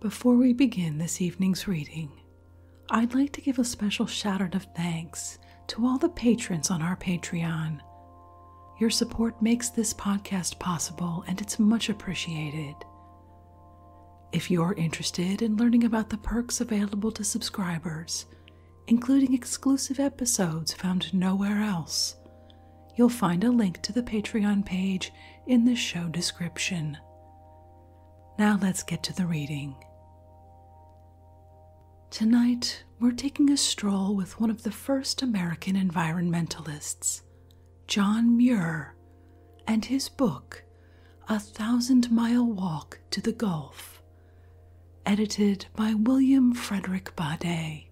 Before we begin this evening's reading, I'd like to give a special shout out of thanks to all the patrons on our Patreon. Your support makes this podcast possible and it's much appreciated. If you're interested in learning about the perks available to subscribers, including exclusive episodes found nowhere else, you'll find a link to the Patreon page in the show description. Now let's get to the reading. Tonight, we're taking a stroll with one of the first American environmentalists, John Muir, and his book, A Thousand Mile Walk to the Gulf, edited by William Frederick Badet,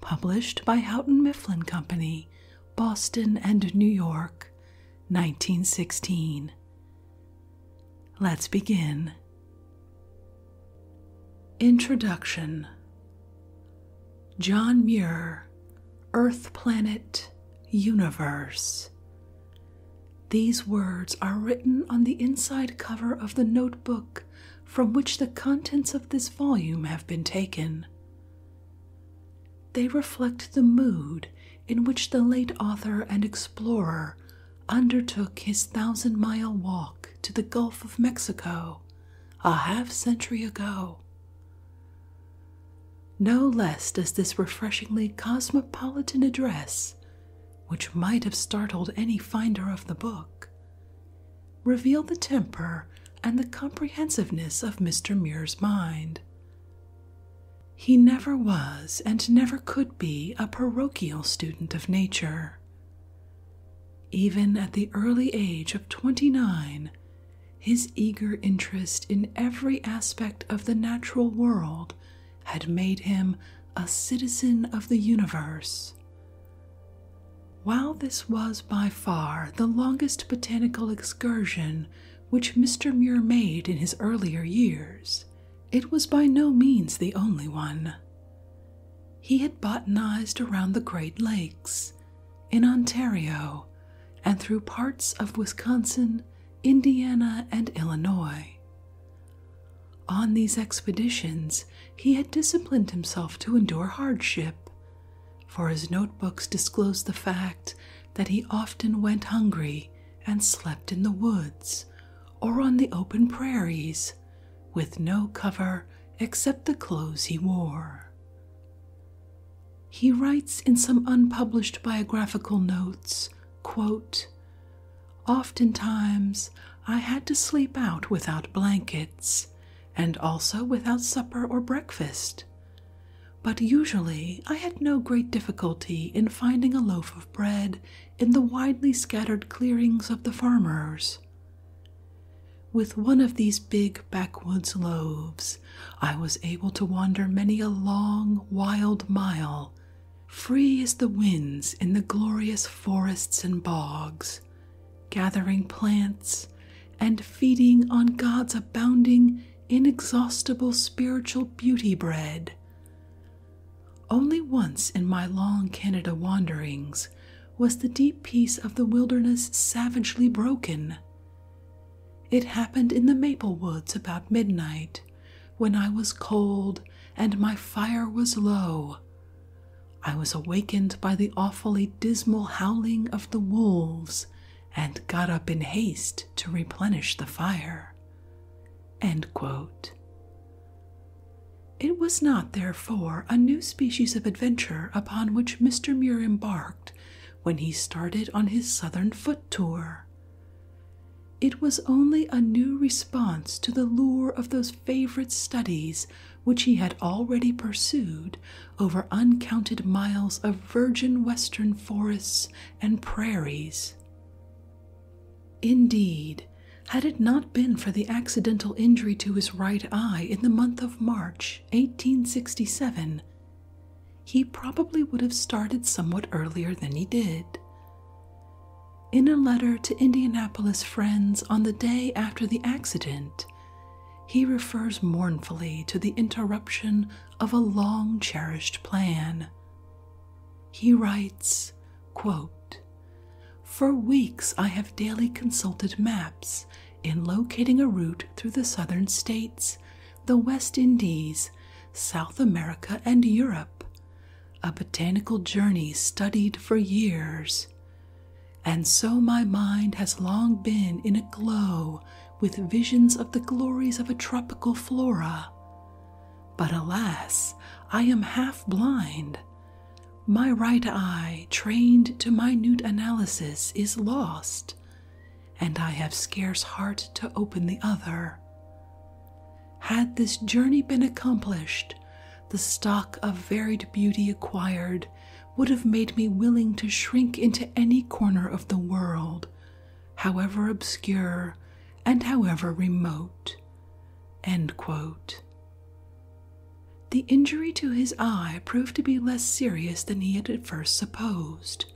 published by Houghton Mifflin Company, Boston and New York, 1916. Let's begin. Introduction John Muir, Earth Planet Universe. These words are written on the inside cover of the notebook from which the contents of this volume have been taken. They reflect the mood in which the late author and explorer undertook his thousand mile walk to the Gulf of Mexico a half century ago. No less does this refreshingly cosmopolitan address, which might have startled any finder of the book, reveal the temper and the comprehensiveness of Mr. Muir's mind. He never was and never could be a parochial student of nature. Even at the early age of twenty nine, his eager interest in every aspect of the natural world had made him a citizen of the universe. While this was by far the longest botanical excursion which Mr. Muir made in his earlier years, it was by no means the only one. He had botanized around the Great Lakes, in Ontario, and through parts of Wisconsin, Indiana, and Illinois. On these expeditions, he had disciplined himself to endure hardship for his notebooks disclose the fact that he often went hungry and slept in the woods or on the open prairies with no cover except the clothes he wore. He writes in some unpublished biographical notes, Oftentimes I had to sleep out without blankets and also without supper or breakfast. But usually I had no great difficulty in finding a loaf of bread in the widely scattered clearings of the farmers. With one of these big backwoods loaves, I was able to wander many a long, wild mile, free as the winds in the glorious forests and bogs, gathering plants and feeding on God's abounding, inexhaustible spiritual beauty bread. Only once in my long Canada wanderings was the deep peace of the wilderness savagely broken. It happened in the maple woods about midnight, when I was cold and my fire was low. I was awakened by the awfully dismal howling of the wolves and got up in haste to replenish the fire. It was not, therefore, a new species of adventure upon which Mr. Muir embarked when he started on his southern foot tour. It was only a new response to the lure of those favorite studies which he had already pursued over uncounted miles of virgin western forests and prairies. Indeed, had it not been for the accidental injury to his right eye in the month of March 1867, he probably would have started somewhat earlier than he did. In a letter to Indianapolis friends on the day after the accident, he refers mournfully to the interruption of a long cherished plan. He writes, For weeks I have daily consulted maps in locating a route through the southern states, the West Indies, South America, and Europe, a botanical journey studied for years. And so my mind has long been in a glow with visions of the glories of a tropical flora. But alas, I am half blind. My right eye, trained to minute analysis, is lost, and I have scarce heart to open the other. Had this journey been accomplished, the stock of varied beauty acquired would have made me willing to shrink into any corner of the world however obscure and however remote. The injury to his eye proved to be less serious than he had at first supposed.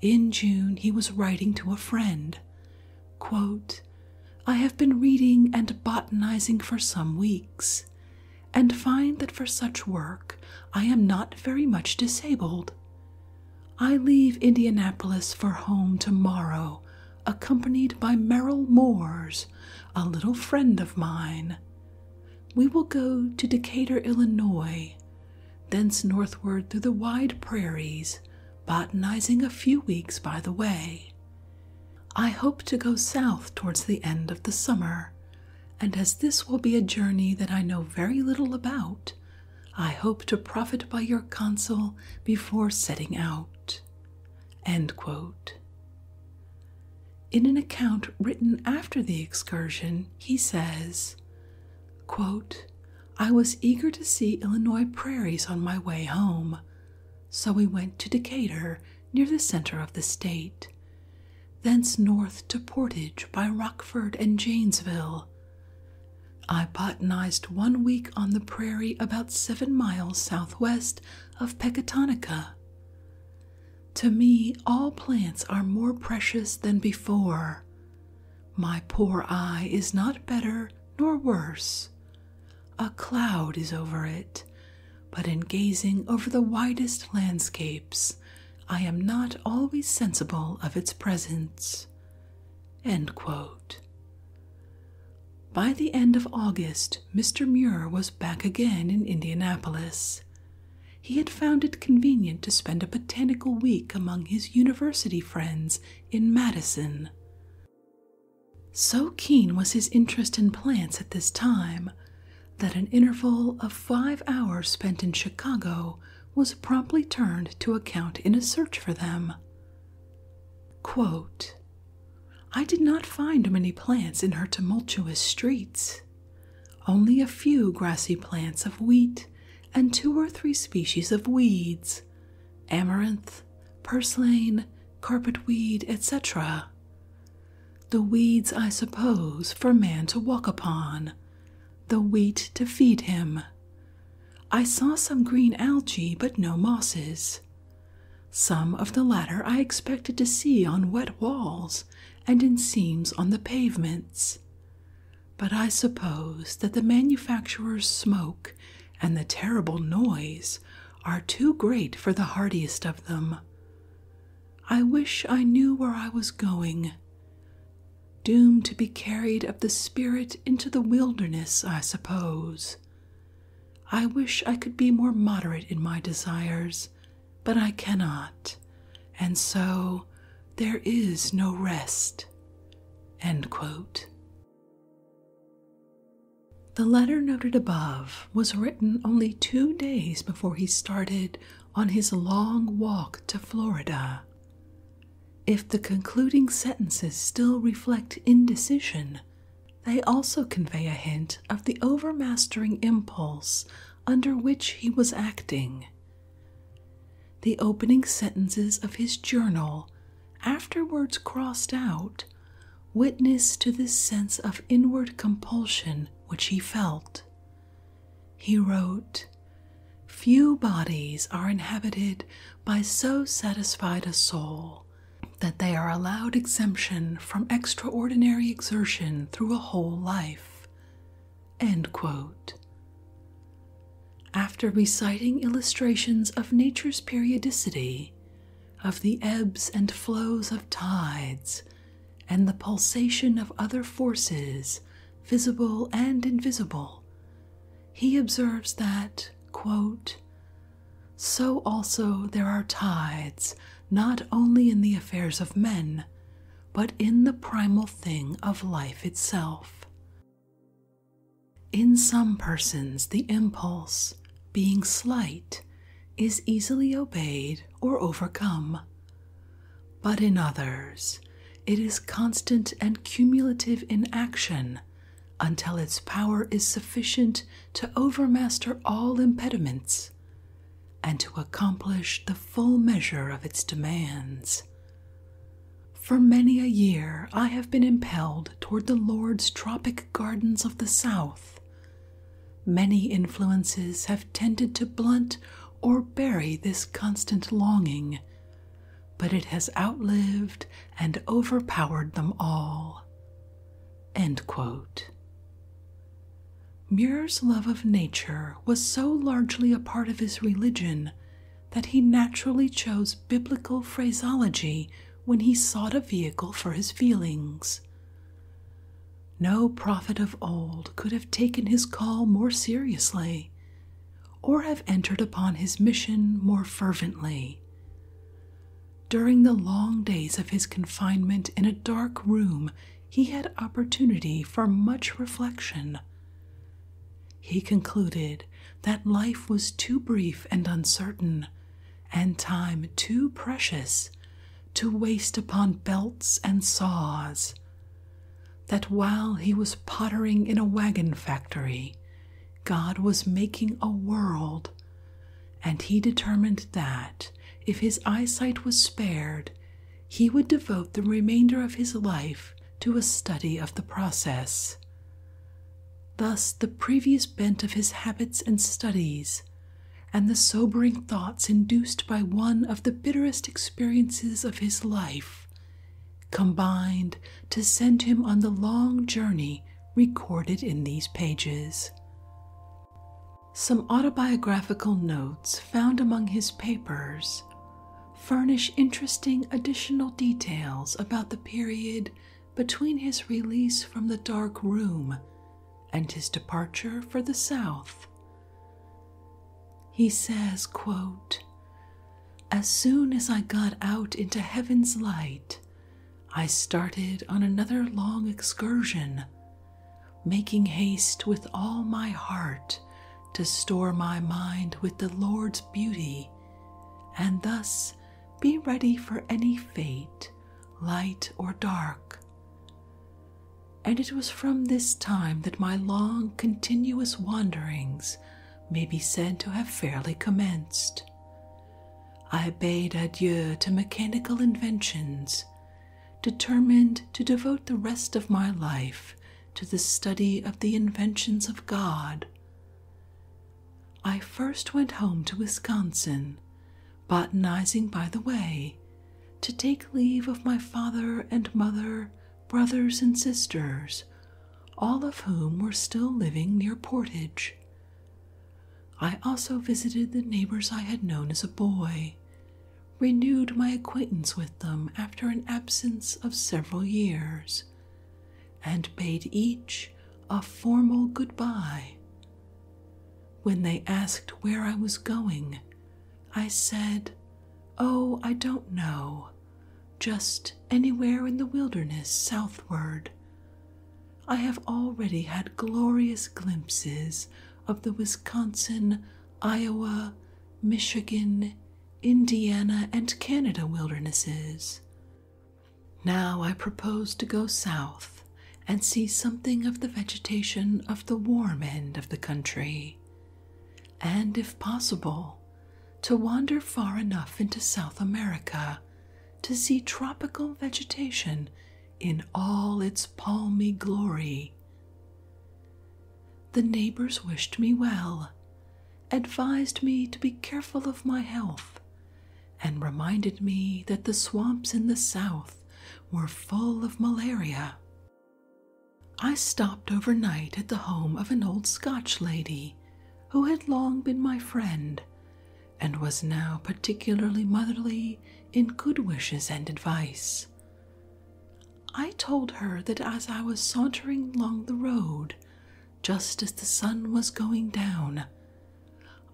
In June, he was writing to a friend I have been reading and botanizing for some weeks, and find that for such work I am not very much disabled. I leave Indianapolis for home tomorrow, accompanied by Merrill Moores, a little friend of mine. We will go to Decatur, Illinois, thence northward through the wide prairies, botanizing a few weeks by the way. I hope to go south towards the end of the summer, and as this will be a journey that I know very little about, I hope to profit by your counsel before setting out. In an account written after the excursion, he says, I was eager to see Illinois prairies on my way home, so we went to Decatur near the center of the state thence north to Portage by Rockford and Janesville. I botanized one week on the prairie about seven miles southwest of Pecatonica. To me, all plants are more precious than before. My poor eye is not better nor worse. A cloud is over it, but in gazing over the widest landscapes, I am not always sensible of its presence. By the end of August, Mr. Muir was back again in Indianapolis. He had found it convenient to spend a botanical week among his university friends in Madison. So keen was his interest in plants at this time that an interval of five hours spent in Chicago was promptly turned to account in a search for them. I did not find many plants in her tumultuous streets, only a few grassy plants of wheat and two or three species of weeds, amaranth, purslane, carpet carpetweed, etc. The weeds, I suppose, for man to walk upon, the wheat to feed him. I saw some green algae, but no mosses. Some of the latter I expected to see on wet walls and in seams on the pavements. But I suppose that the manufacturer's smoke and the terrible noise are too great for the hardiest of them. I wish I knew where I was going doomed to be carried of the spirit into the wilderness, I suppose. I wish I could be more moderate in my desires, but I cannot, and so there is no rest. The letter noted above was written only two days before he started on his long walk to Florida. If the concluding sentences still reflect indecision, they also convey a hint of the overmastering impulse under which he was acting. The opening sentences of his journal, afterwards crossed out, witness to this sense of inward compulsion which he felt. He wrote, Few bodies are inhabited by so satisfied a soul that they are allowed exemption from extraordinary exertion through a whole life. After reciting illustrations of nature's periodicity, of the ebbs and flows of tides, and the pulsation of other forces, visible and invisible, he observes that, so also there are tides not only in the affairs of men, but in the primal thing of life itself. In some persons, the impulse, being slight, is easily obeyed or overcome. But in others, it is constant and cumulative in action until its power is sufficient to overmaster all impediments and to accomplish the full measure of its demands. For many a year I have been impelled toward the Lord's tropic gardens of the South. Many influences have tended to blunt or bury this constant longing, but it has outlived and overpowered them all. Muir's love of nature was so largely a part of his religion that he naturally chose biblical phraseology when he sought a vehicle for his feelings. No prophet of old could have taken his call more seriously or have entered upon his mission more fervently. During the long days of his confinement in a dark room, he had opportunity for much reflection. He concluded that life was too brief and uncertain, and time too precious to waste upon belts and saws that while he was pottering in a wagon factory, God was making a world, and he determined that, if his eyesight was spared, he would devote the remainder of his life to a study of the process. Thus, the previous bent of his habits and studies, and the sobering thoughts induced by one of the bitterest experiences of his life, combined to send him on the long journey recorded in these pages. Some autobiographical notes found among his papers furnish interesting additional details about the period between his release from the dark room and his departure for the South he says, As soon as I got out into heaven's light, I started on another long excursion, making haste with all my heart to store my mind with the Lord's beauty, and thus be ready for any fate, light or dark and it was from this time that my long continuous wanderings may be said to have fairly commenced. I bade adieu to mechanical inventions, determined to devote the rest of my life to the study of the inventions of God. I first went home to Wisconsin, botanizing by the way, to take leave of my father and mother brothers and sisters, all of whom were still living near Portage. I also visited the neighbors I had known as a boy, renewed my acquaintance with them after an absence of several years, and bade each a formal good-by. When they asked where I was going, I said, Oh, I don't know. Just anywhere in the wilderness southward. I have already had glorious glimpses of the Wisconsin, Iowa, Michigan, Indiana, and Canada wildernesses. Now I propose to go south and see something of the vegetation of the warm end of the country and if possible, to wander far enough into South America to see tropical vegetation in all its palmy glory. The neighbors wished me well, advised me to be careful of my health, and reminded me that the swamps in the south were full of malaria. I stopped overnight at the home of an old Scotch lady who had long been my friend and was now particularly motherly in good wishes and advice. I told her that as I was sauntering along the road, just as the sun was going down,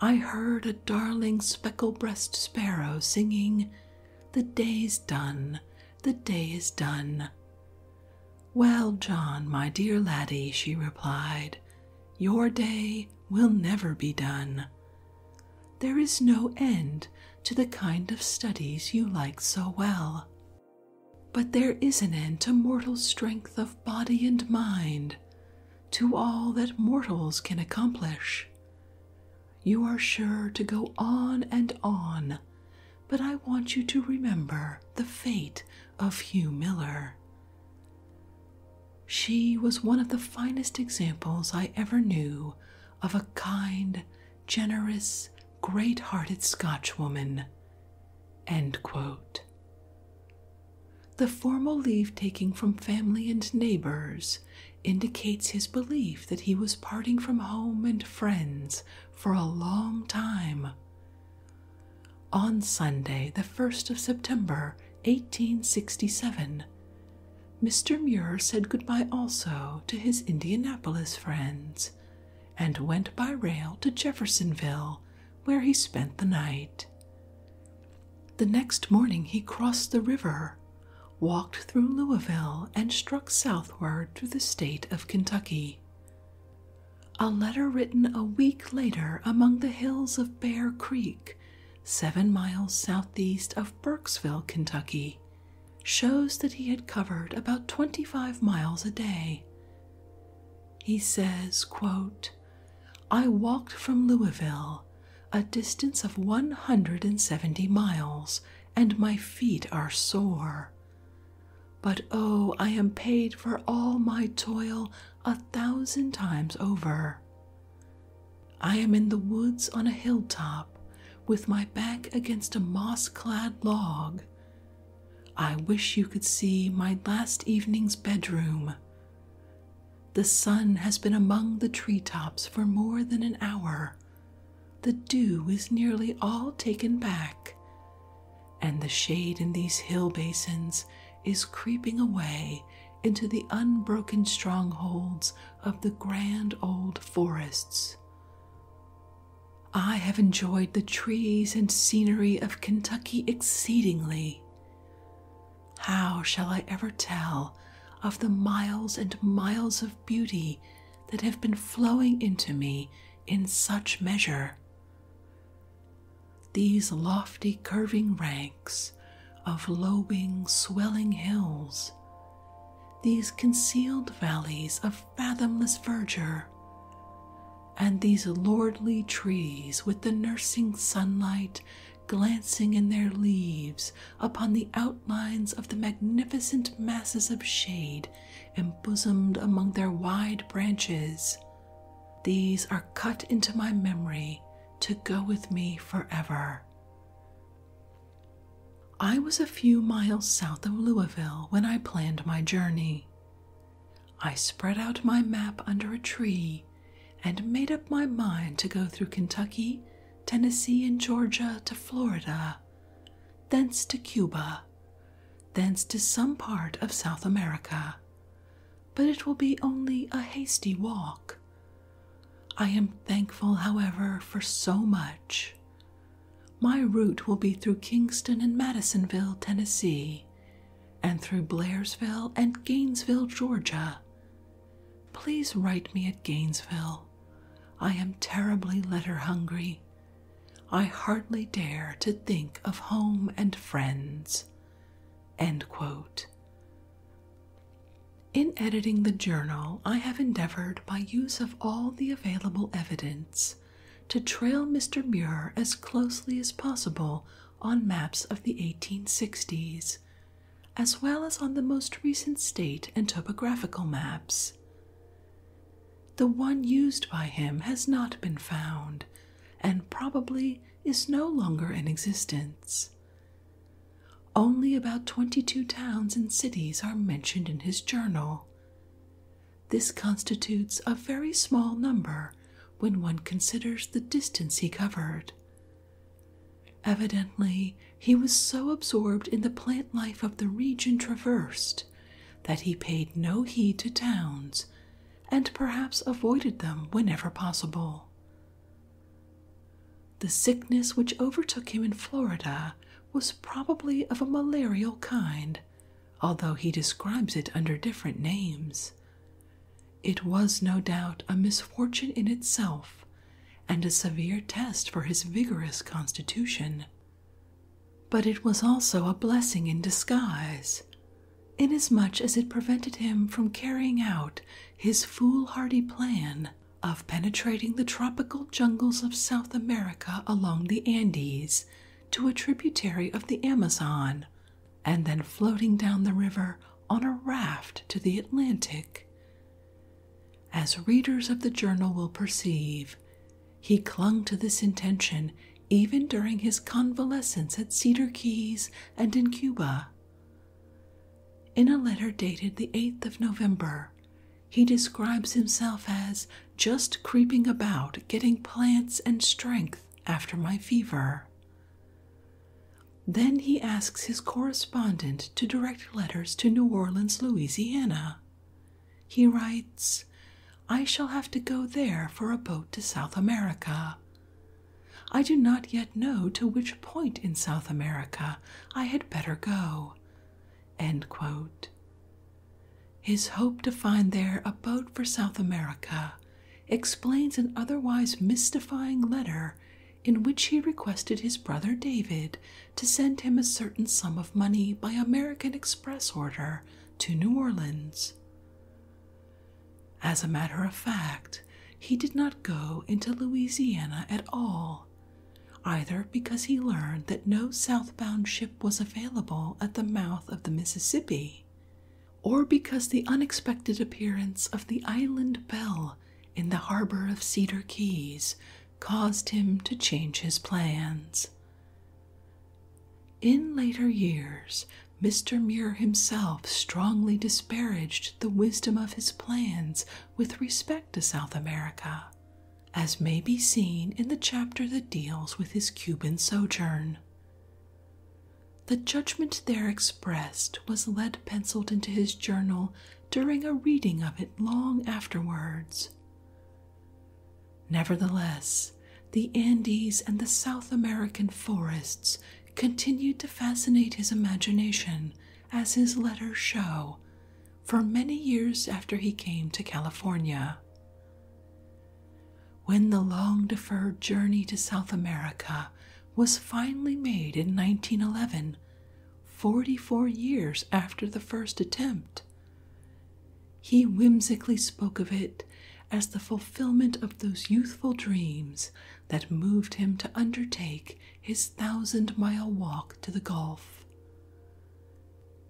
I heard a darling speckle breast sparrow singing the day's done, the day is done. Well, John, my dear laddie, she replied, your day will never be done. There is no end to the kind of studies you like so well. But there is an end to mortal strength of body and mind, to all that mortals can accomplish. You are sure to go on and on, but I want you to remember the fate of Hugh Miller. She was one of the finest examples I ever knew of a kind, generous, great hearted Scotchwoman. End The formal leave taking from family and neighbors indicates his belief that he was parting from home and friends for a long time. On Sunday, the 1st of September, 1867, Mr. Muir said goodbye also to his Indianapolis friends and went by rail to Jeffersonville, where he spent the night. The next morning he crossed the river walked through Louisville, and struck southward through the state of Kentucky. A letter written a week later among the hills of Bear Creek, seven miles southeast of Burkesville, Kentucky, shows that he had covered about 25 miles a day. He says, I walked from Louisville, a distance of 170 miles, and my feet are sore. But oh, I am paid for all my toil a thousand times over. I am in the woods on a hilltop, with my back against a moss clad log. I wish you could see my last evening's bedroom. The sun has been among the tree tops for more than an hour, the dew is nearly all taken back, and the shade in these hill basins is creeping away into the unbroken strongholds of the grand old forests. I have enjoyed the trees and scenery of Kentucky exceedingly. How shall I ever tell of the miles and miles of beauty that have been flowing into me in such measure. These lofty curving ranks of lobing, swelling hills, these concealed valleys of fathomless verdure, and these lordly trees with the nursing sunlight glancing in their leaves upon the outlines of the magnificent masses of shade embosomed among their wide branches. These are cut into my memory to go with me forever. I was a few miles south of Louisville when I planned my journey. I spread out my map under a tree and made up my mind to go through Kentucky, Tennessee, and Georgia to Florida thence to Cuba, thence to some part of South America. But it will be only a hasty walk. I am thankful, however, for so much. My route will be through Kingston and Madisonville, Tennessee, and through Blairsville and Gainesville, Georgia. Please write me at Gainesville I am terribly letter hungry. I hardly dare to think of home and friends. In editing the journal, I have endeavored by use of all the available evidence to trail Mr. Muir as closely as possible on maps of the 1860s, as well as on the most recent state and topographical maps. The one used by him has not been found and probably is no longer in existence. Only about twenty two towns and cities are mentioned in his journal. This constitutes a very small number when one considers the distance he covered. Evidently, he was so absorbed in the plant life of the region traversed that he paid no heed to towns and perhaps avoided them whenever possible. The sickness which overtook him in Florida was probably of a malarial kind, although he describes it under different names. It was no doubt a misfortune in itself and a severe test for his vigorous constitution. But it was also a blessing in disguise, inasmuch as it prevented him from carrying out his foolhardy plan of penetrating the tropical jungles of South America along the Andes to a tributary of the Amazon, and then floating down the river on a raft to the Atlantic. As readers of the journal will perceive, he clung to this intention even during his convalescence at Cedar Keys and in Cuba. In a letter dated the 8th of November, he describes himself as just creeping about, getting plants and strength after my fever. Then he asks his correspondent to direct letters to New Orleans, Louisiana. He writes, I shall have to go there for a boat to South America. I do not yet know to which point in South America I had better go. His hope to find there a boat for South America explains an otherwise mystifying letter in which he requested his brother David to send him a certain sum of money by American Express order to New Orleans. As a matter of fact, he did not go into Louisiana at all, either because he learned that no southbound ship was available at the mouth of the Mississippi, or because the unexpected appearance of the Island Belle in the harbor of Cedar Keys caused him to change his plans. In later years, Mr. Muir himself strongly disparaged the wisdom of his plans with respect to South America, as may be seen in the chapter that deals with his Cuban sojourn. The judgment there expressed was lead penciled into his journal during a reading of it long afterwards. Nevertheless, the Andes and the South American forests continued to fascinate his imagination, as his letters show, for many years after he came to California. When the long deferred journey to South America was finally made in 1911, 44 years after the first attempt, he whimsically spoke of it as the fulfillment of those youthful dreams that moved him to undertake his thousand mile walk to the Gulf.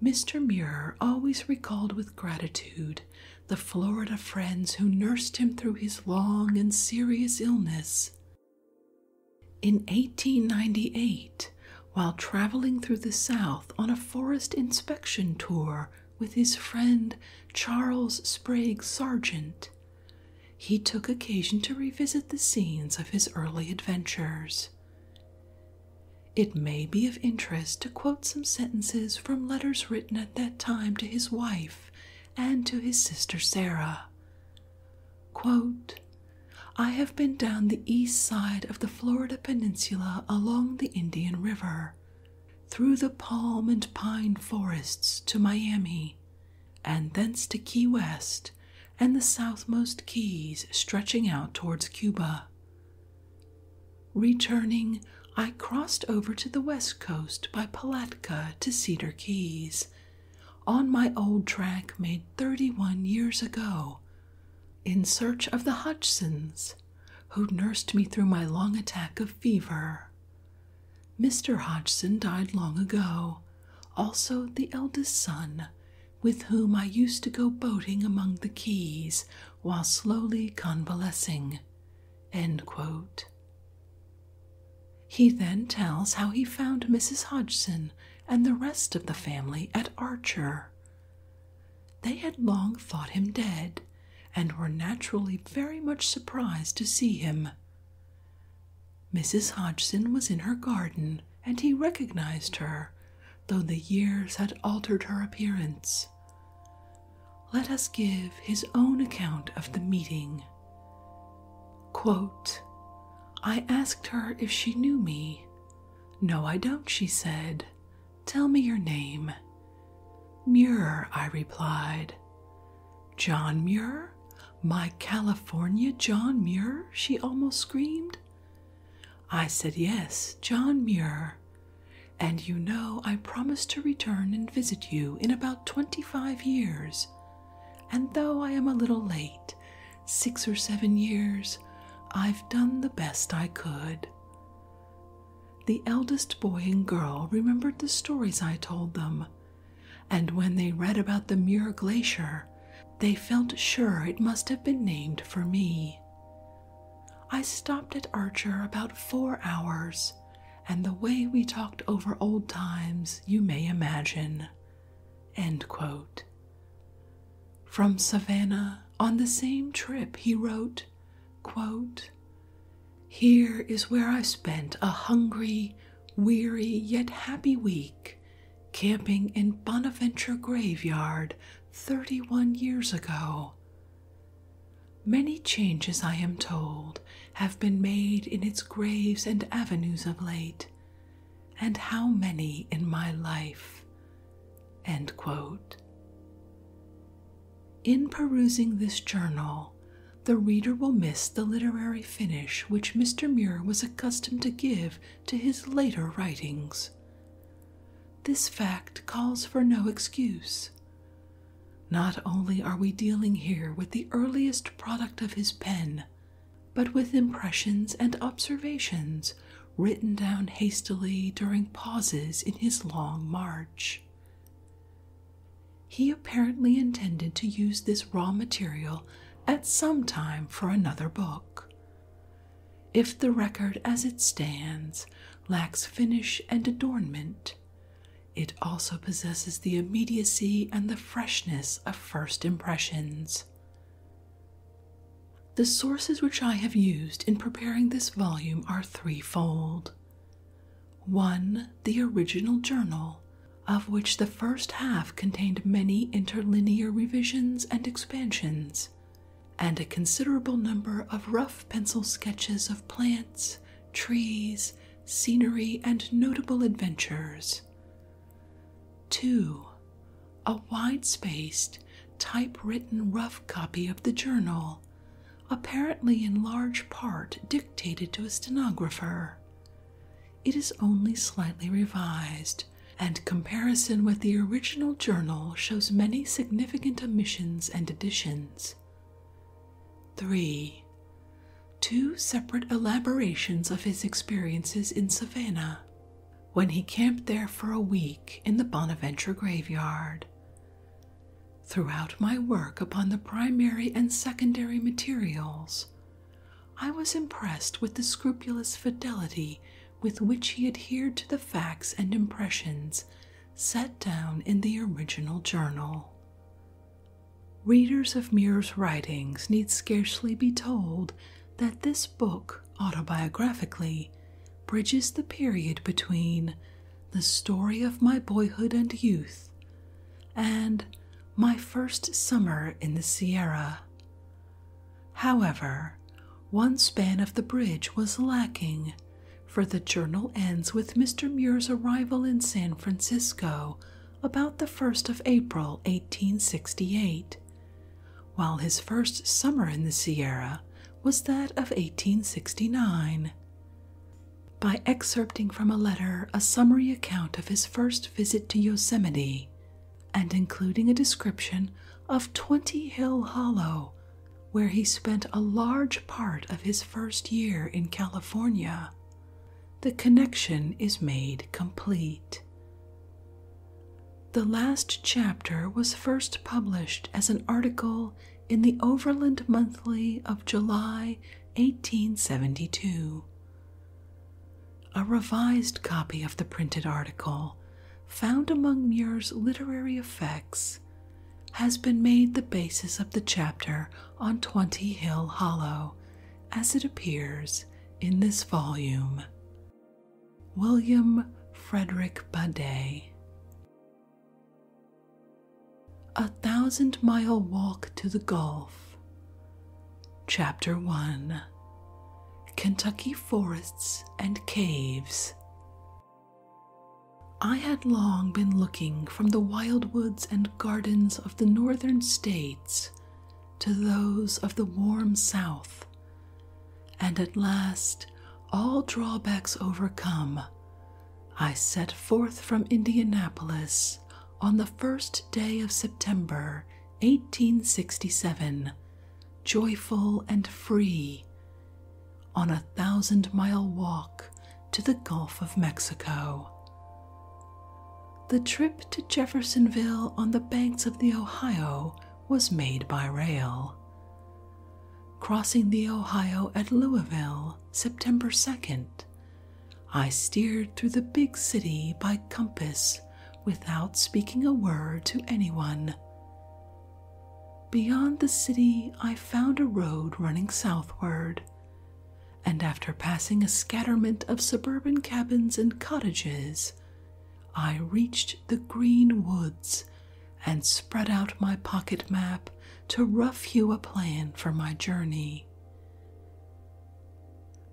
Mr. Muir always recalled with gratitude the Florida friends who nursed him through his long and serious illness. In 1898, while traveling through the South on a forest inspection tour with his friend Charles Sprague Sargent, he took occasion to revisit the scenes of his early adventures. It may be of interest to quote some sentences from letters written at that time to his wife and to his sister Sarah. Quote, I have been down the east side of the Florida Peninsula along the Indian River, through the palm and pine forests to Miami, and thence to Key West and the southmost keys stretching out towards Cuba. Returning, I crossed over to the west coast by Palatka to Cedar Keys, on my old track made thirty one years ago in search of the Hodgsons, who nursed me through my long attack of fever. Mr. Hodgson died long ago, also the eldest son, with whom I used to go boating among the keys while slowly convalescing. End quote. He then tells how he found Mrs. Hodgson and the rest of the family at Archer, they had long thought him dead, and were naturally very much surprised to see him. Mrs. Hodgson was in her garden, and he recognized her, though the years had altered her appearance. Let us give his own account of the meeting. I asked her if she knew me. No, I don't, she said. Tell me your name. Muir, I replied. John Muir? My California John Muir? she almost screamed. I said, Yes, John Muir. And you know, I promised to return and visit you in about twenty five years. And though I am a little late, six or seven years, I've done the best I could. The eldest boy and girl remembered the stories I told them, and when they read about the Muir Glacier, they felt sure it must have been named for me. I stopped at Archer about four hours, and the way we talked over old times you may imagine. From Savannah, on the same trip, he wrote, Here is where I spent a hungry, weary, yet happy week camping in Bonaventure Graveyard 31 years ago. Many changes, I am told, have been made in its graves and avenues of late, and how many in my life. In perusing this journal, the reader will miss the literary finish which Mr. Muir was accustomed to give to his later writings. This fact calls for no excuse. Not only are we dealing here with the earliest product of his pen, but with impressions and observations written down hastily during pauses in his long march. He apparently intended to use this raw material at some time for another book. If the record as it stands lacks finish and adornment, it also possesses the immediacy and the freshness of first impressions. The sources which I have used in preparing this volume are threefold. One, the original journal, of which the first half contained many interlinear revisions and expansions, and a considerable number of rough pencil sketches of plants, trees, scenery, and notable adventures, 2. A wide spaced, typewritten rough copy of the journal, apparently in large part dictated to a stenographer. It is only slightly revised, and comparison with the original journal shows many significant omissions and additions. 3. Two separate elaborations of his experiences in Savannah, when he camped there for a week in the Bonaventure graveyard. Throughout my work upon the primary and secondary materials, I was impressed with the scrupulous fidelity with which he adhered to the facts and impressions set down in the original journal. Readers of Muir's writings need scarcely be told that this book autobiographically, bridges the period between the story of my boyhood and youth and my first summer in the Sierra. However, one span of the bridge was lacking, for the journal ends with Mr. Muir's arrival in San Francisco about the 1st of April 1868 while his first summer in the Sierra was that of 1869. By excerpting from a letter a summary account of his first visit to Yosemite and including a description of Twenty Hill Hollow, where he spent a large part of his first year in California, the connection is made complete. The last chapter was first published as an article in the Overland Monthly of July 1872. A revised copy of the printed article, found among Muir's literary effects, has been made the basis of the chapter on Twenty Hill Hollow, as it appears in this volume. William Frederick Badet. A Thousand Mile Walk to the Gulf. Chapter 1 Kentucky Forests and Caves. I had long been looking from the wild woods and gardens of the northern states to those of the warm south and at last, all drawbacks overcome, I set forth from Indianapolis on the first day of September 1867, joyful and free, on a thousand mile walk to the Gulf of Mexico. The trip to Jeffersonville on the banks of the Ohio was made by rail. Crossing the Ohio at Louisville, September 2nd, I steered through the big city by compass without speaking a word to anyone. Beyond the city, I found a road running southward, and after passing a scatterment of suburban cabins and cottages, I reached the green woods and spread out my pocket map to rough you a plan for my journey.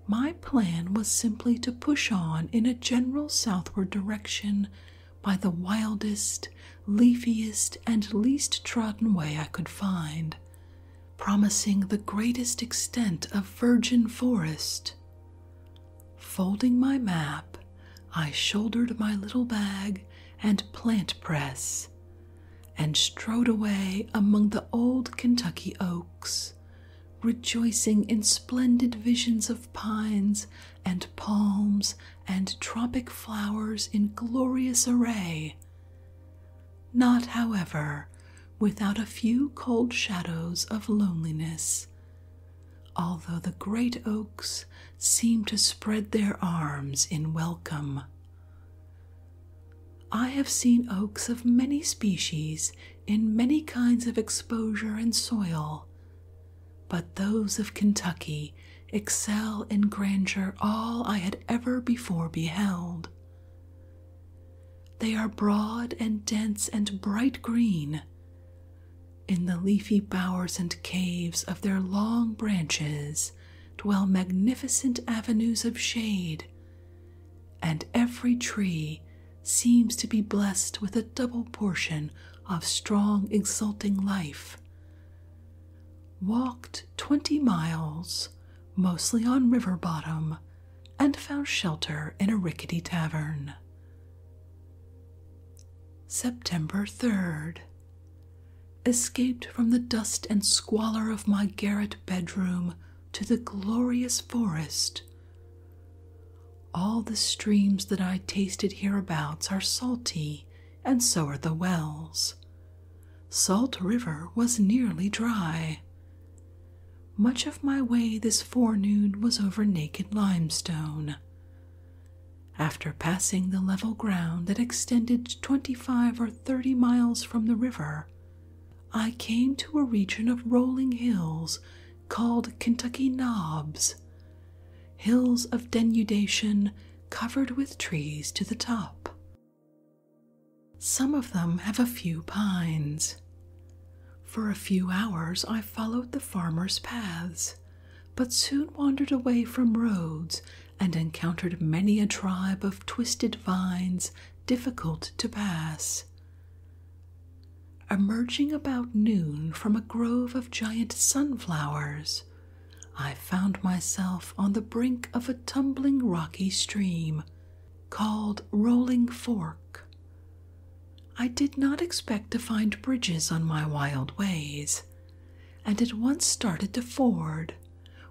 My plan was simply to push on in a general southward direction by the wildest, leafiest, and least trodden way I could find, promising the greatest extent of virgin forest. Folding my map, I shouldered my little bag and plant press and strode away among the old Kentucky oaks, rejoicing in splendid visions of pines and palms and tropic flowers in glorious array. Not, however, without a few cold shadows of loneliness although the great oaks seem to spread their arms in welcome. I have seen oaks of many species in many kinds of exposure and soil, but those of Kentucky excel in grandeur all I had ever before beheld. They are broad and dense and bright green, in the leafy bowers and caves of their long branches dwell magnificent avenues of shade, and every tree seems to be blessed with a double portion of strong, exulting life. Walked twenty miles, mostly on river bottom, and found shelter in a rickety tavern. September 3rd. Escaped from the dust and squalor of my garret bedroom to the glorious forest. All the streams that I tasted hereabouts are salty, and so are the wells. Salt River was nearly dry. Much of my way this forenoon was over naked limestone. After passing the level ground that extended twenty five or thirty miles from the river, I came to a region of rolling hills called Kentucky Knobs, hills of denudation covered with trees to the top. Some of them have a few pines. For a few hours I followed the farmer's paths, but soon wandered away from roads and encountered many a tribe of twisted vines difficult to pass. Emerging about noon from a grove of giant sunflowers, I found myself on the brink of a tumbling rocky stream called Rolling Fork, I did not expect to find bridges on my wild ways, and at once started to ford,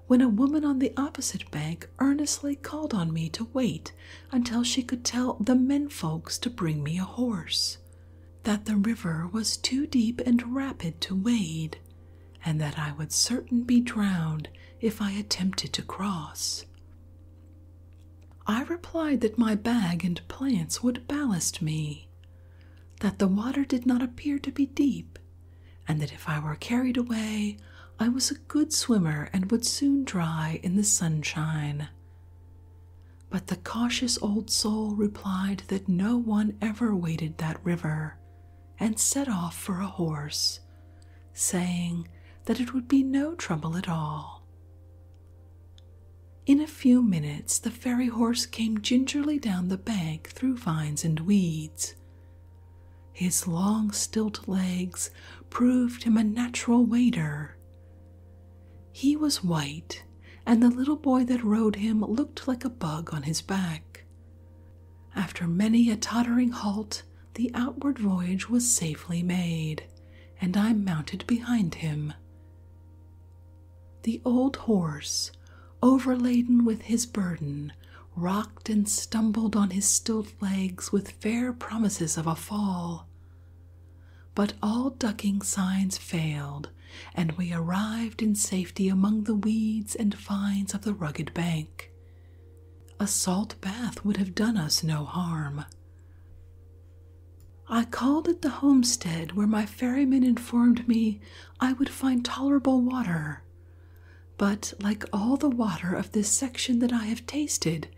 when a woman on the opposite bank earnestly called on me to wait until she could tell the men folks to bring me a horse, that the river was too deep and rapid to wade, and that I would certain be drowned if I attempted to cross. I replied that my bag and plants would ballast me, that the water did not appear to be deep, and that if I were carried away, I was a good swimmer and would soon dry in the sunshine. But the cautious old soul replied that no one ever waded that river, and set off for a horse, saying that it would be no trouble at all. In a few minutes, the fairy horse came gingerly down the bank through vines and weeds. His long, stilt legs proved him a natural wader. He was white, and the little boy that rode him looked like a bug on his back. After many a tottering halt, the outward voyage was safely made, and I mounted behind him. The old horse, overladen with his burden, rocked and stumbled on his stilt legs with fair promises of a fall. But all ducking signs failed, and we arrived in safety among the weeds and vines of the rugged bank. A salt bath would have done us no harm. I called at the homestead where my ferryman informed me I would find tolerable water. But, like all the water of this section that I have tasted,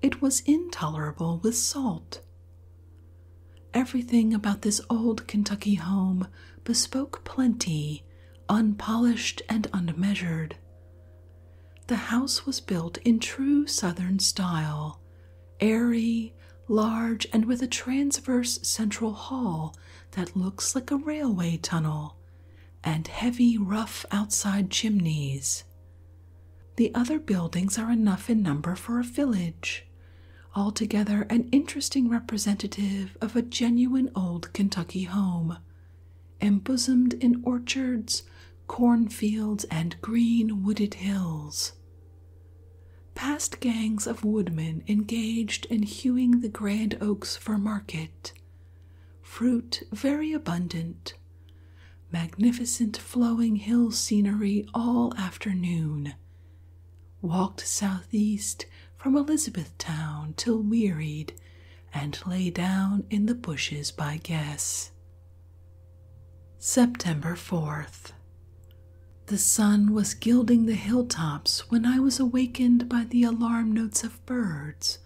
it was intolerable with salt. Everything about this old Kentucky home bespoke plenty, unpolished and unmeasured. The house was built in true Southern style, airy, large, and with a transverse central hall that looks like a railway tunnel, and heavy, rough outside chimneys. The other buildings are enough in number for a village, altogether an interesting representative of a genuine old Kentucky home, embosomed in orchards, cornfields, and green wooded hills. Past gangs of woodmen engaged in hewing the grand oaks for market. Fruit very abundant. Magnificent flowing hill scenery all afternoon. Walked southeast from Elizabethtown till wearied, and lay down in the bushes by guess. September 4th. The sun was gilding the hilltops when I was awakened by the alarm notes of birds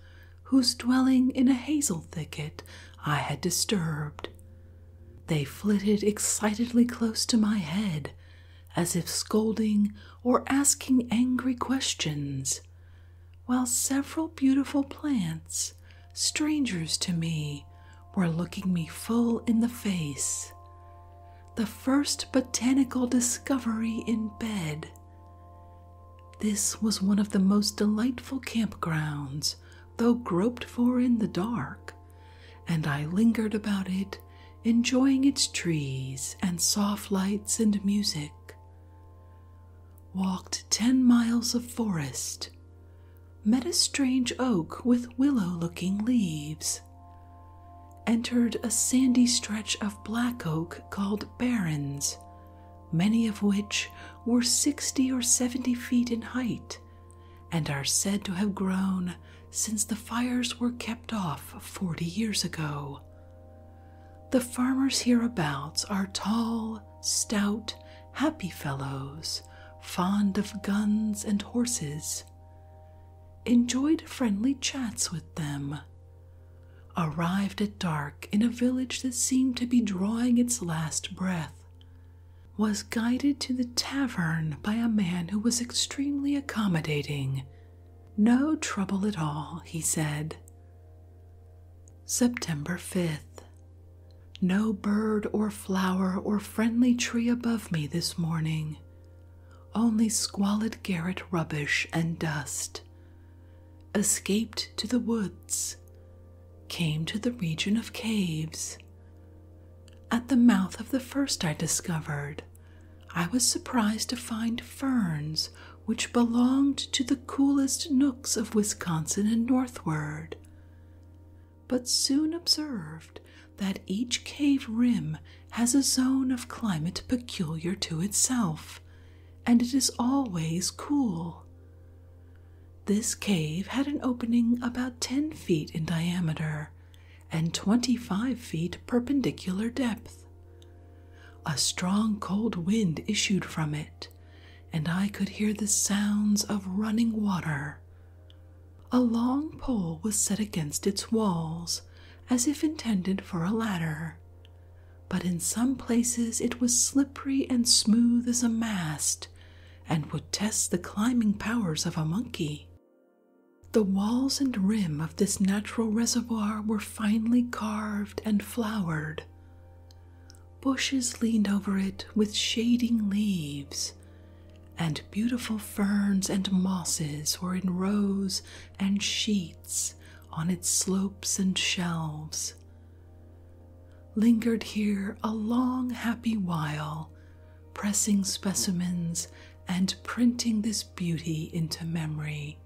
whose dwelling in a hazel thicket I had disturbed. They flitted excitedly close to my head, as if scolding or asking angry questions, while several beautiful plants strangers to me, were looking me full in the face. The first botanical discovery in bed. This was one of the most delightful campgrounds, though groped for in the dark, and I lingered about it, enjoying its trees and soft lights and music. Walked ten miles of forest, met a strange oak with willow looking leaves, entered a sandy stretch of black oak called barrens, many of which were sixty or seventy feet in height and are said to have grown since the fires were kept off forty years ago. The farmers hereabouts are tall, stout, happy fellows, fond of guns and horses, enjoyed friendly chats with them. Arrived at dark in a village that seemed to be drawing its last breath, was guided to the tavern by a man who was extremely accommodating. No trouble at all, he said. September 5th. No bird or flower or friendly tree above me this morning, only squalid garret rubbish and dust. Escaped to the woods, came to the region of caves. At the mouth of the first I discovered, I was surprised to find ferns which belonged to the coolest nooks of Wisconsin and northward, but soon observed that each cave rim has a zone of climate peculiar to itself, and it is always cool. This cave had an opening about 10 feet in diameter and 25 feet perpendicular depth. A strong cold wind issued from it, and I could hear the sounds of running water. A long pole was set against its walls, as if intended for a ladder, but in some places it was slippery and smooth as a mast, and would test the climbing powers of a monkey. The walls and rim of this natural reservoir were finely carved and flowered, Bushes leaned over it with shading leaves, and beautiful ferns and mosses were in rows and sheets on its slopes and shelves. Lingered here a long, happy while, pressing specimens and printing this beauty into memory.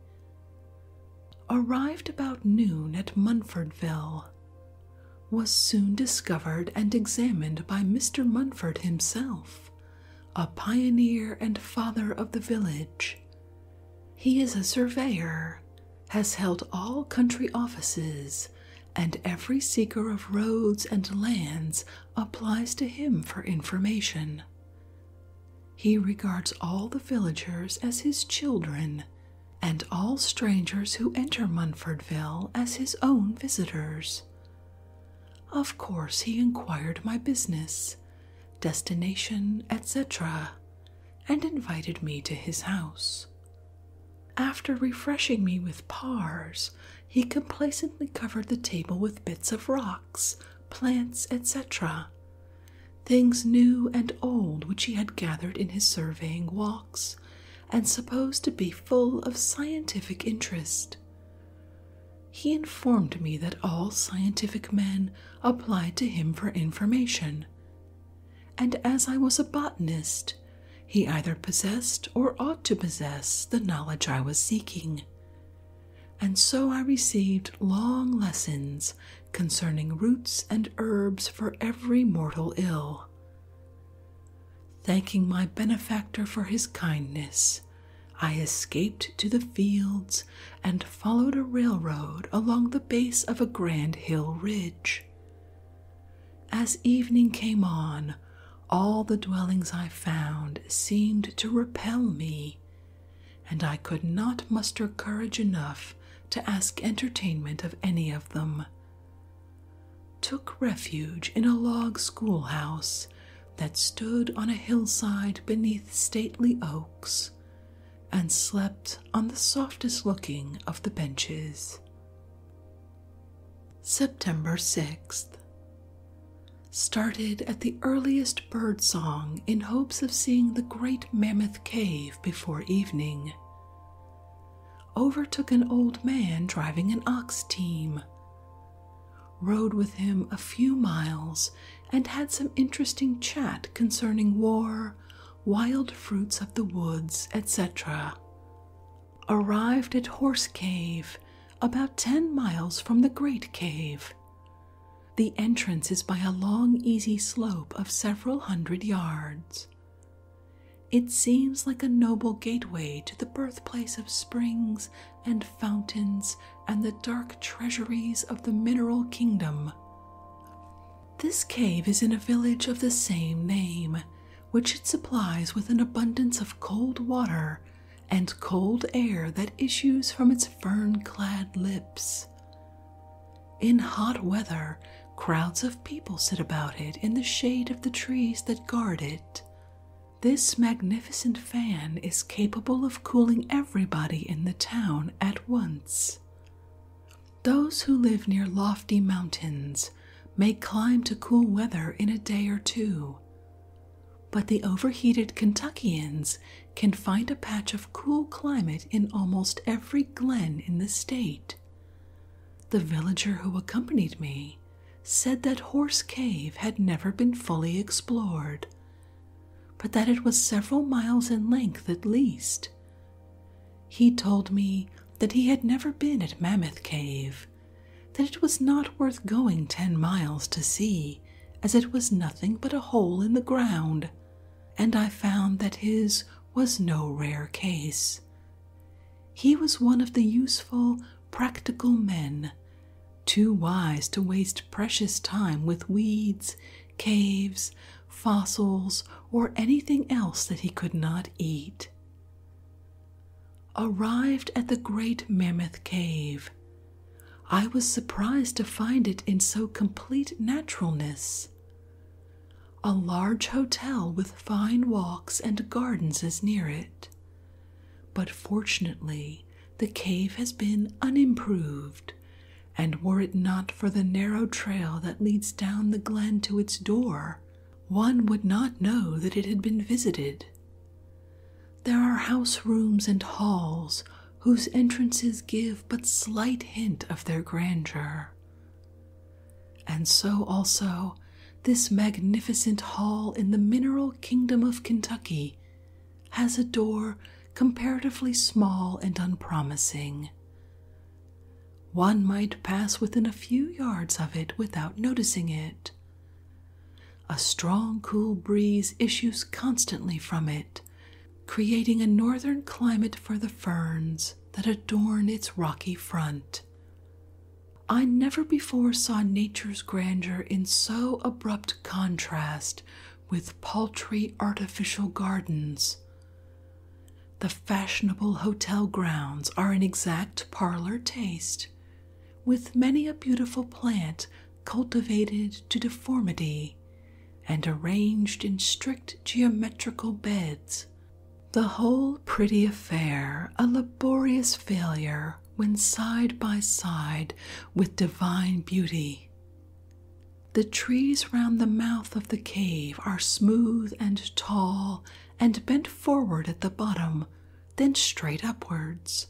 Arrived about noon at Munfordville, was soon discovered and examined by Mr. Munford himself, a pioneer and father of the village. He is a surveyor, has held all country offices, and every seeker of roads and lands applies to him for information. He regards all the villagers as his children and all strangers who enter Munfordville as his own visitors. Of course, he inquired my business, destination, etc., and invited me to his house. After refreshing me with pears, he complacently covered the table with bits of rocks, plants, etc., things new and old which he had gathered in his surveying walks and supposed to be full of scientific interest. He informed me that all scientific men applied to him for information, and as I was a botanist, he either possessed or ought to possess the knowledge I was seeking. And so I received long lessons concerning roots and herbs for every mortal ill, Thanking my benefactor for his kindness, I escaped to the fields and followed a railroad along the base of a grand hill ridge. As evening came on, all the dwellings I found seemed to repel me, and I could not muster courage enough to ask entertainment of any of them, took refuge in a log schoolhouse that stood on a hillside beneath stately oaks, and slept on the softest looking of the benches. September 6th. Started at the earliest bird song in hopes of seeing the great Mammoth Cave before evening. Overtook an old man driving an ox team. Rode with him a few miles and had some interesting chat concerning war, wild fruits of the woods, etc. Arrived at Horse Cave, about ten miles from the Great Cave. The entrance is by a long, easy slope of several hundred yards. It seems like a noble gateway to the birthplace of springs and fountains and the dark treasuries of the mineral kingdom. This cave is in a village of the same name, which it supplies with an abundance of cold water and cold air that issues from its fern clad lips. In hot weather, crowds of people sit about it in the shade of the trees that guard it. This magnificent fan is capable of cooling everybody in the town at once. Those who live near lofty mountains may climb to cool weather in a day or two, but the overheated Kentuckians can find a patch of cool climate in almost every glen in the state, the villager who accompanied me said that Horse Cave had never been fully explored, but that it was several miles in length at least. He told me that he had never been at Mammoth Cave, that it was not worth going ten miles to see, as it was nothing but a hole in the ground, and I found that his was no rare case, he was one of the useful, practical men, too wise to waste precious time with weeds, caves, fossils, or anything else that he could not eat. Arrived at the great Mammoth Cave, I was surprised to find it in so complete naturalness. A large hotel with fine walks and gardens is near it. But fortunately, the cave has been unimproved, and were it not for the narrow trail that leads down the glen to its door, one would not know that it had been visited. There are house rooms and halls whose entrances give but slight hint of their grandeur. And so also this magnificent hall in the mineral kingdom of Kentucky has a door comparatively small and unpromising. One might pass within a few yards of it without noticing it. A strong, cool breeze issues constantly from it, creating a northern climate for the ferns, that adorn its rocky front. I never before saw nature's grandeur in so abrupt contrast with paltry artificial gardens. The fashionable hotel grounds are in exact parlor taste, with many a beautiful plant cultivated to deformity and arranged in strict geometrical beds the whole pretty affair a laborious failure when side by side with divine beauty. The trees round the mouth of the cave are smooth and tall and bent forward at the bottom, then straight upwards.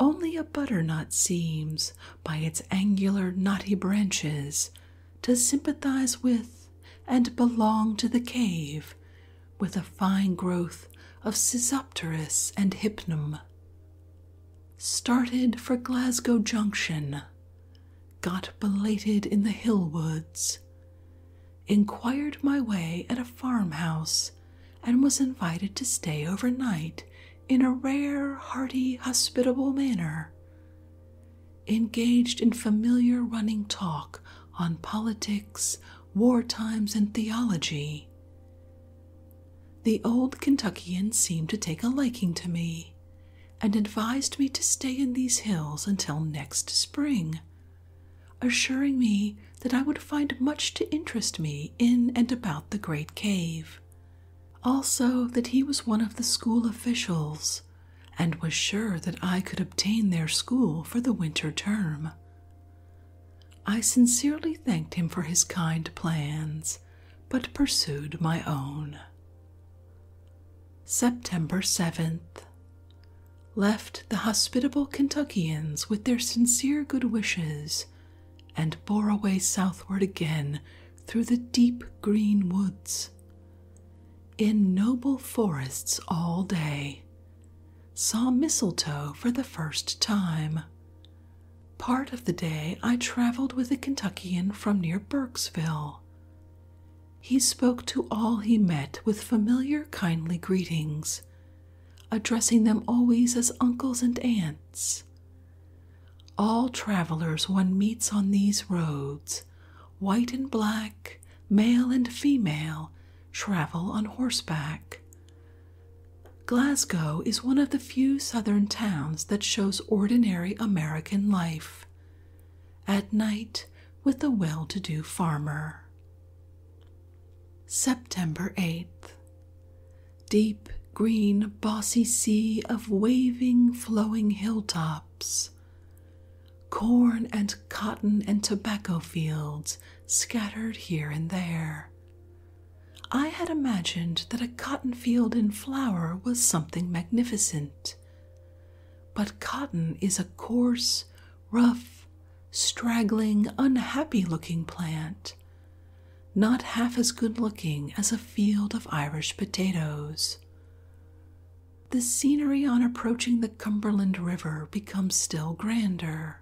Only a butternut seems, by its angular knotty branches, to sympathize with and belong to the cave with a fine growth of Sisopterus and Hypnum. Started for Glasgow Junction, got belated in the hill woods, inquired my way at a farmhouse, and was invited to stay overnight in a rare, hearty, hospitable manner engaged in familiar running talk on politics, war times, and theology. The old Kentuckian seemed to take a liking to me and advised me to stay in these hills until next spring, assuring me that I would find much to interest me in and about the great cave. Also, that he was one of the school officials and was sure that I could obtain their school for the winter term. I sincerely thanked him for his kind plans, but pursued my own. September 7th. Left the hospitable Kentuckians with their sincere good wishes and bore away southward again through the deep green woods, in noble forests all day, saw mistletoe for the first time. Part of the day I traveled with a Kentuckian from near Burkesville. He spoke to all he met with familiar, kindly greetings, addressing them always as uncles and aunts. All travelers one meets on these roads white and black, male and female, travel on horseback. Glasgow is one of the few southern towns that shows ordinary American life. At night, with a well to do farmer. September 8th. Deep, green, bossy sea of waving, flowing hilltops corn and cotton and tobacco fields scattered here and there. I had imagined that a cotton field in flower was something magnificent. But cotton is a coarse, rough, straggling, unhappy looking plant, not half as good looking as a field of Irish potatoes. The scenery on approaching the Cumberland River becomes still grander.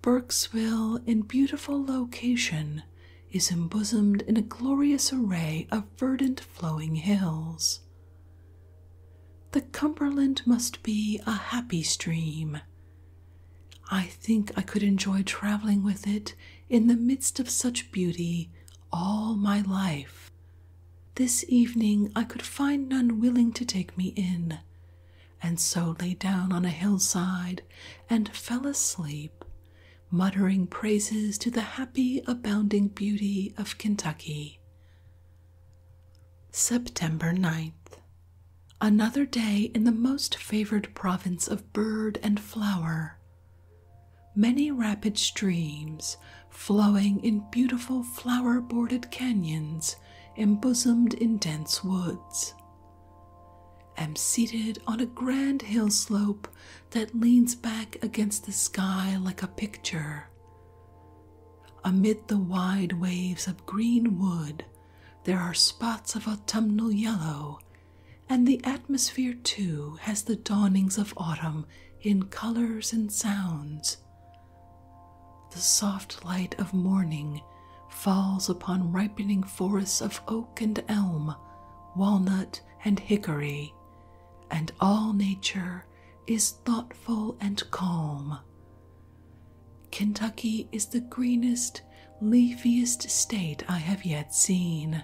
Burkesville, in beautiful location, is embosomed in a glorious array of verdant flowing hills. The Cumberland must be a happy stream. I think I could enjoy traveling with it in the midst of such beauty all my life, this evening I could find none willing to take me in, and so lay down on a hillside and fell asleep, muttering praises to the happy, abounding beauty of Kentucky. September 9th. Another day in the most favored province of bird and flower, Many rapid streams flowing in beautiful flower bordered canyons embosomed in dense woods. Am seated on a grand hill slope that leans back against the sky like a picture. Amid the wide waves of green wood, there are spots of autumnal yellow, and the atmosphere too has the dawnings of autumn in colors and sounds. The soft light of morning falls upon ripening forests of oak and elm, walnut and hickory, and all nature is thoughtful and calm. Kentucky is the greenest, leafiest state I have yet seen.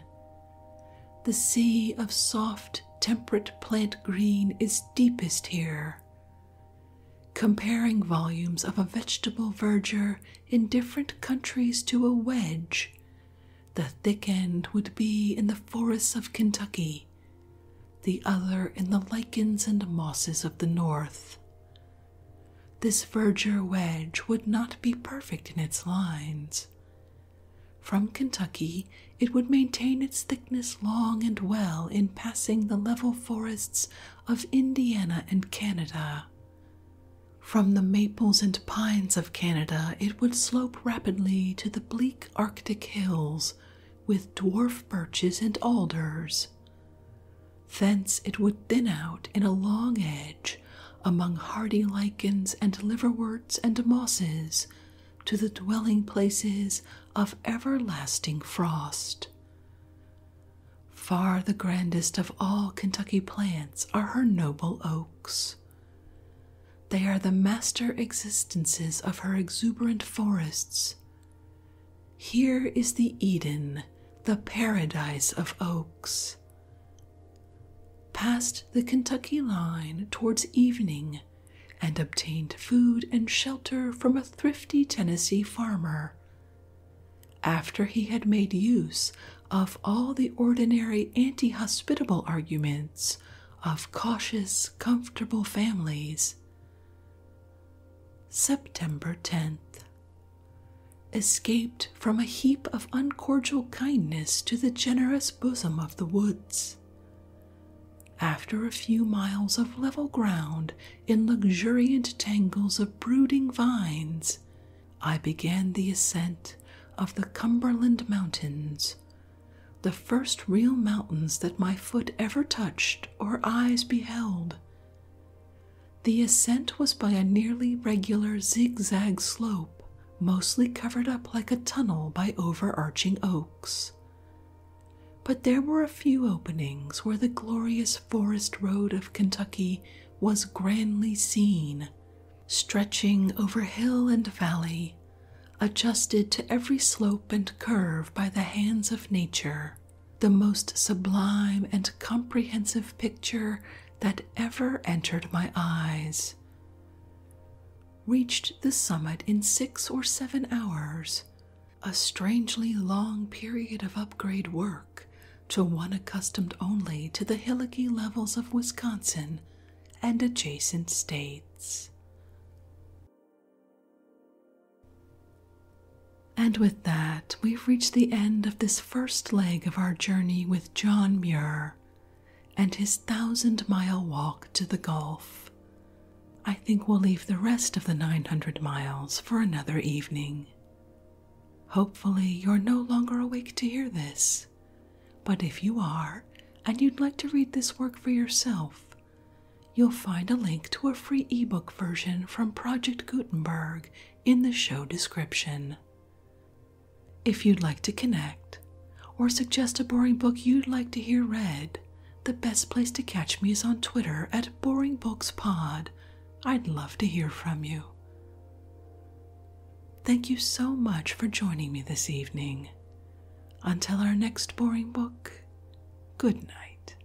The sea of soft, temperate plant green is deepest here. Comparing volumes of a vegetable verdure in different countries to a wedge, the thick end would be in the forests of Kentucky, the other in the lichens and mosses of the north. This verdure wedge would not be perfect in its lines, from Kentucky, it would maintain its thickness long and well in passing the level forests of Indiana and Canada. From the maples and pines of Canada, it would slope rapidly to the bleak Arctic hills with dwarf birches and alders. Thence it would thin out in a long edge among hardy lichens and liverworts and mosses to the dwelling places of everlasting frost. Far the grandest of all Kentucky plants are her noble oaks. They are the master existences of her exuberant forests. Here is the Eden, the paradise of oaks. Passed the Kentucky line towards evening and obtained food and shelter from a thrifty Tennessee farmer. After he had made use of all the ordinary anti hospitable arguments of cautious, comfortable families. September 10th. Escaped from a heap of uncordial kindness to the generous bosom of the woods. After a few miles of level ground in luxuriant tangles of brooding vines, I began the ascent of the Cumberland Mountains, the first real mountains that my foot ever touched or eyes beheld. The ascent was by a nearly regular zigzag slope, mostly covered up like a tunnel by overarching oaks. But there were a few openings where the glorious forest road of Kentucky was grandly seen, stretching over hill and valley, adjusted to every slope and curve by the hands of nature, the most sublime and comprehensive picture that ever entered my eyes reached the summit in six or seven hours, a strangely long period of upgrade work to one accustomed only to the hillocky levels of Wisconsin and adjacent states. And with that, we've reached the end of this first leg of our journey with John Muir and his thousand mile walk to the Gulf. I think we'll leave the rest of the 900 miles for another evening. Hopefully, you're no longer awake to hear this, but if you are, and you'd like to read this work for yourself, you'll find a link to a free ebook version from Project Gutenberg in the show description. If you'd like to connect or suggest a boring book you'd like to hear read, the best place to catch me is on Twitter at Boring Books Pod. I'd love to hear from you. Thank you so much for joining me this evening. Until our next boring book, good night.